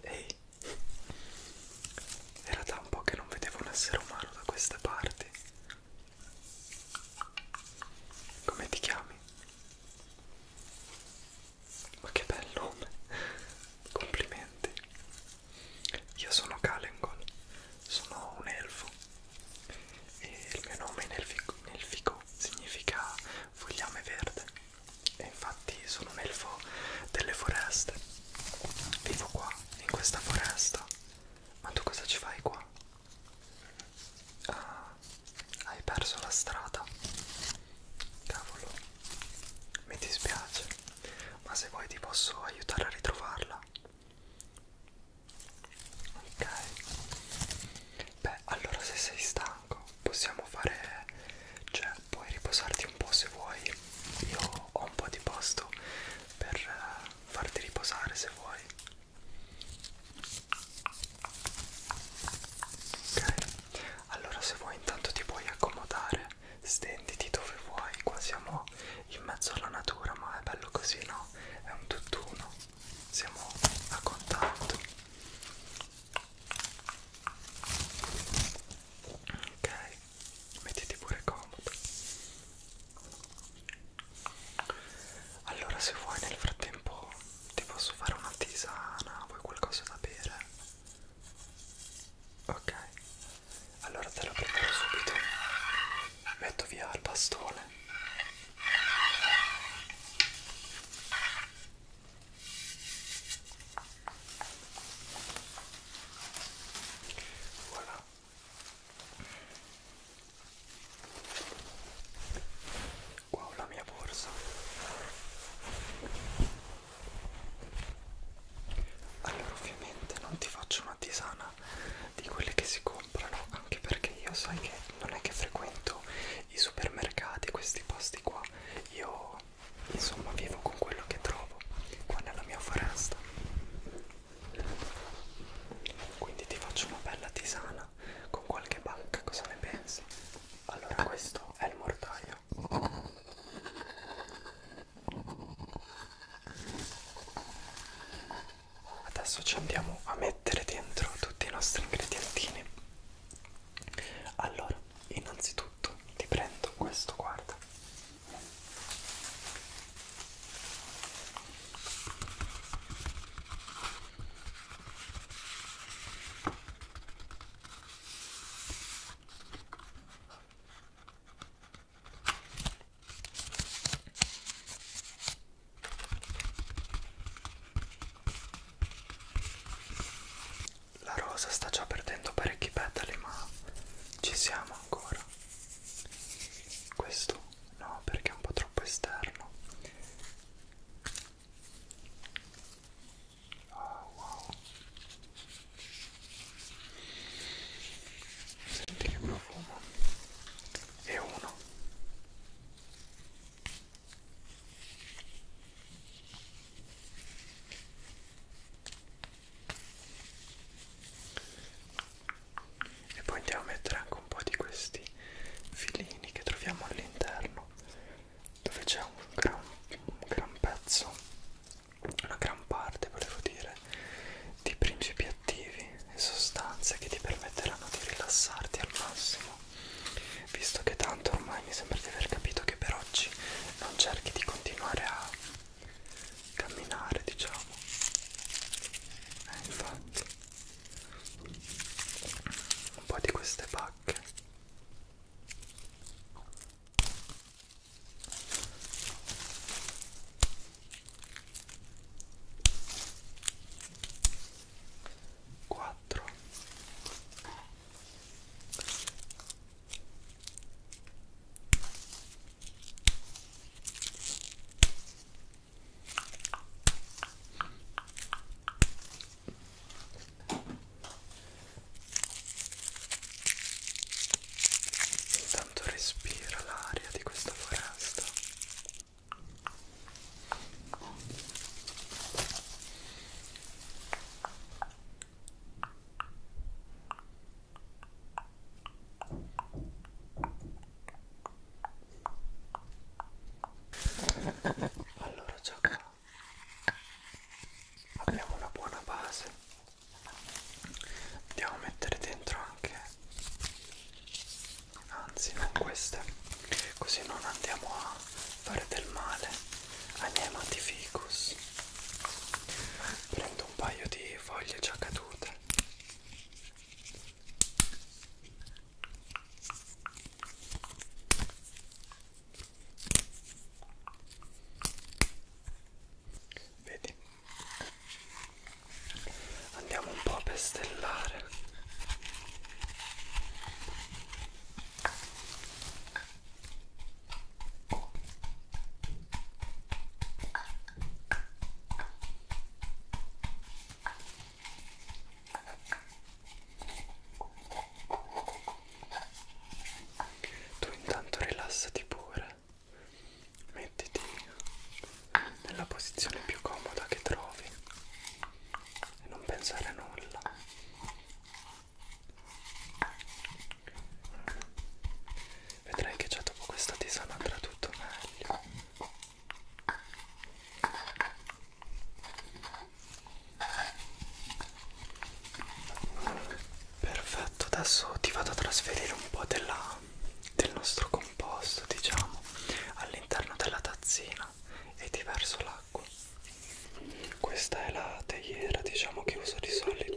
Ehi, era da un po' che non vedevo un essere umano da queste parti. Come ti chiami? Ma che bel nome! Complimenti! Io sono Kalengol, sono un elfo e il mio nome in elfico, in elfico significa fogliame verde e infatti sono un elfo delle foreste. Vivo qua, in questa foresta. Ma tu cosa ci fai qua? Ah, hai perso la strada. Cavolo, mi dispiace, ma se vuoi ti posso aiutare a ritrovarla. Ok, beh, allora se sei stanco possiamo fare, cioè puoi riposarti un po' se vuoi. Io ho un po' di posto per eh, farti riposare se vuoi. Ok, allora se vuoi intanto ti puoi accomodare, stenditi dove vuoi, qua siamo in mezzo alla natura, ma è bello così, no? È un tutt'uno, siamo a contatto. Ok, mettiti pure comodo. Allora se vuoi nel frattempo ti posso fare una tisana, vuoi qualcosa da bere? Ok, allora te la preparo subito, metto via il bastone. Voilà. Qua ho la mia borsa. Allora ovviamente non ti faccio una tisana di quelle che si comprano, anche perché io sai che non è che frequento i supermercati, questi posti qua. Io insomma vivo con quello che trovo qua nella mia foresta quindi ti faccio una bella tisana con qualche banca cosa ne pensi? allora questo è il mortaio adesso ci andiamo a mettere dentro tutti i nostri ingredientini allora innanzitutto ti prendo questo guarda la rosa sta già perdendo parecchi petali, ma ci siamo ancora questo no perché è un po' troppo esterno oh, wow senti che profumo e uno e poi andiamo a mettere anche un po' di questi filini che troviamo all'interno dove c'è un gran, un gran pezzo una gran parte volevo dire di principi attivi e sostanze che ti permetteranno di rilassarti al massimo visto che tanto ormai mi sembra di aver capito che per oggi non cerchi di continuare a camminare diciamo eh, infatti un po' di queste pacche quattro Intanto respira l'aria di questa foresta. Allora già qua abbiamo una buona base. Andiamo a mettere dentro anche anzi non queste così non andiamo a fare del male ai miei matificus. Prendiamo trovato un paio di foglie già cadute vedi andiamo un po' a pestellare tu intanto rilassati pure, mettiti nella posizione più comoda che trovi e non pensare a nulla. Vedrai che già dopo questa tisana andrà tutto meglio. Perfetto, adesso ti vado a trasferire un po' della, del nostro composto, diciamo, all'interno della tazzina e ti verso l'acqua. Questa è la teiera, diciamo, che uso di solito.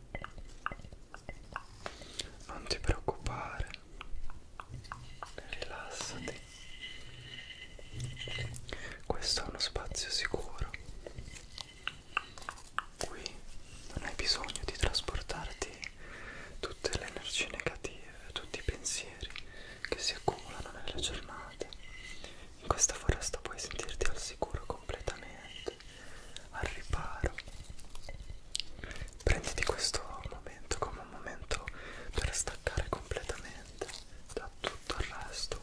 Non ti preoccupare, rilassati. Questo è uno spazio sicuro. Qui non hai bisogno di trasportarti tutte le energie negative, tutti i pensieri che si accumulano nella giornata. In questa foresta puoi sentirti al sicuro completamente al riparo prenditi questo momento come un momento per staccare completamente da tutto il resto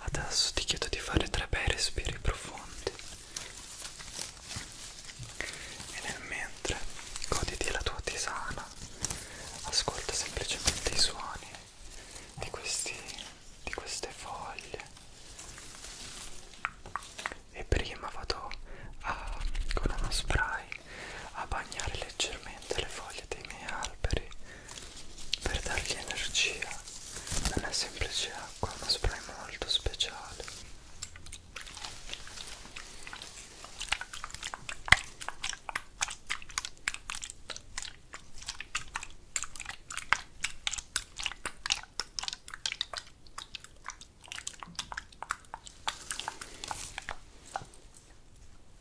Adesso ti chiedo di fare tre bei respiri profondi e nel mentre goditi la tua tisana, ascolta semplicemente i suoni di, questi, di queste foglie e prima vado a, con uno spray a bagnare leggermente le foglie dei miei alberi per dargli energia non è semplice acqua è uno spray molto speciale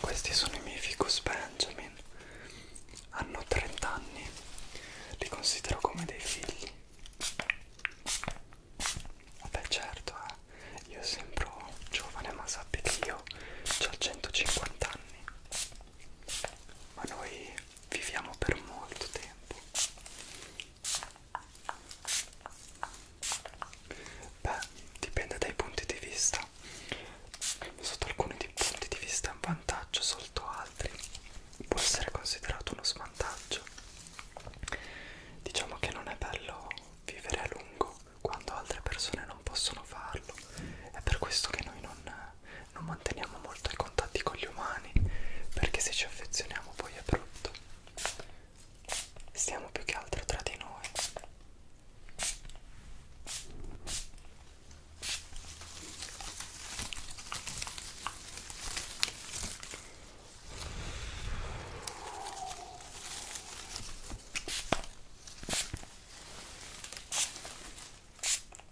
Questi sono i miei ficus Benjamin, hanno 30 anni, li considero come dei figli. Vabbè certo, eh. io sembro giovane ma sappi che io ho 150 anni, ma noi viviamo per molto tempo. Beh, dipende dai punti di vista. Sotto alcuni punti di vista è un vantaggio, sotto altri può essere considerato uno svantaggio. Diciamo che non è bello vivere a lungo quando altre persone non possono farlo. È per questo che noi non non manteniamo molto i contatti con gli umani perché se ci affezioniamo poi è brutto stiamo più che altro tra di noi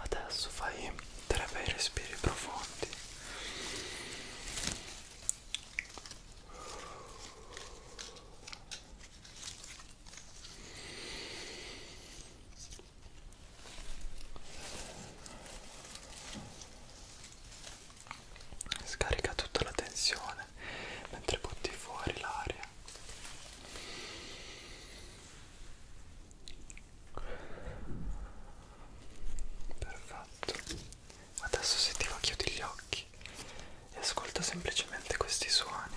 Adesso fai tre bei respiri profondi. Scarica tutta la tensione bene mentre butti fuori l'aria perfetto adesso se ti va chiudi gli occhi e ascolta semplicemente questi suoni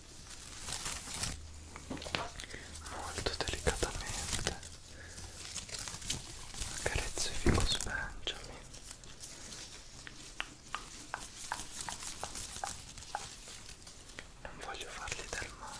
molto delicatamente carezzo i ficus Benjamin non voglio fargli del male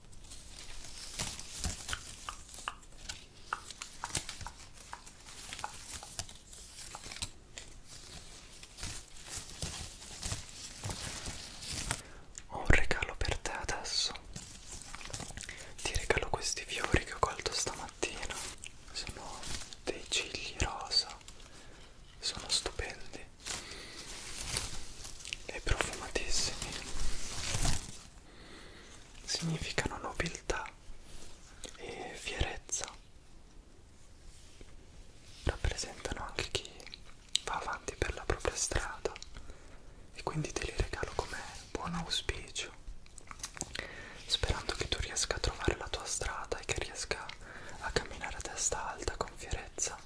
Ho un regalo per te adesso. Ti regalo questi fiori che ho colto stamattina. Sono dei cigli rosa. Sono stupendi e profumatissimi significano nobiltà e fierezza rappresentano anche chi va avanti per la propria strada e quindi te li regalo come buon auspicio sperando che tu riesca a trovare la tua strada e che riesca a camminare a testa alta con fierezza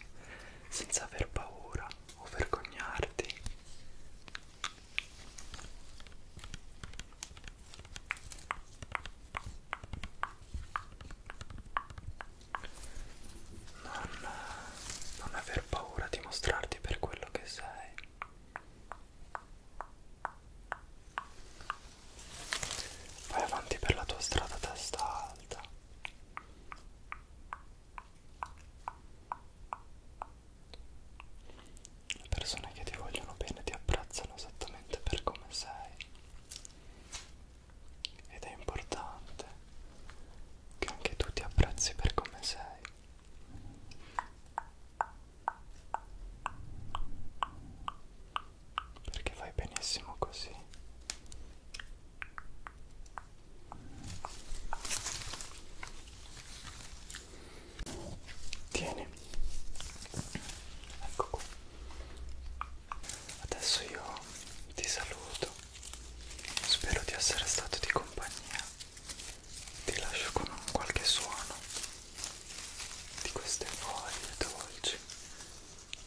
senza aver paura o vergognarti. Non, non aver paura di mostrarti per quello che sei. Vai avanti per la tua strada testa alta. Le persone che ti vogliono bene ti apprezzano esattamente per come sei ed è importante che anche tu ti apprezzi per come sei. Perché fai benissimo così. Tieni. Ecco qua. Adesso io ti saluto. Spero di essere stato di compagnia. Ti lascio con qualche suono di queste foglie dolci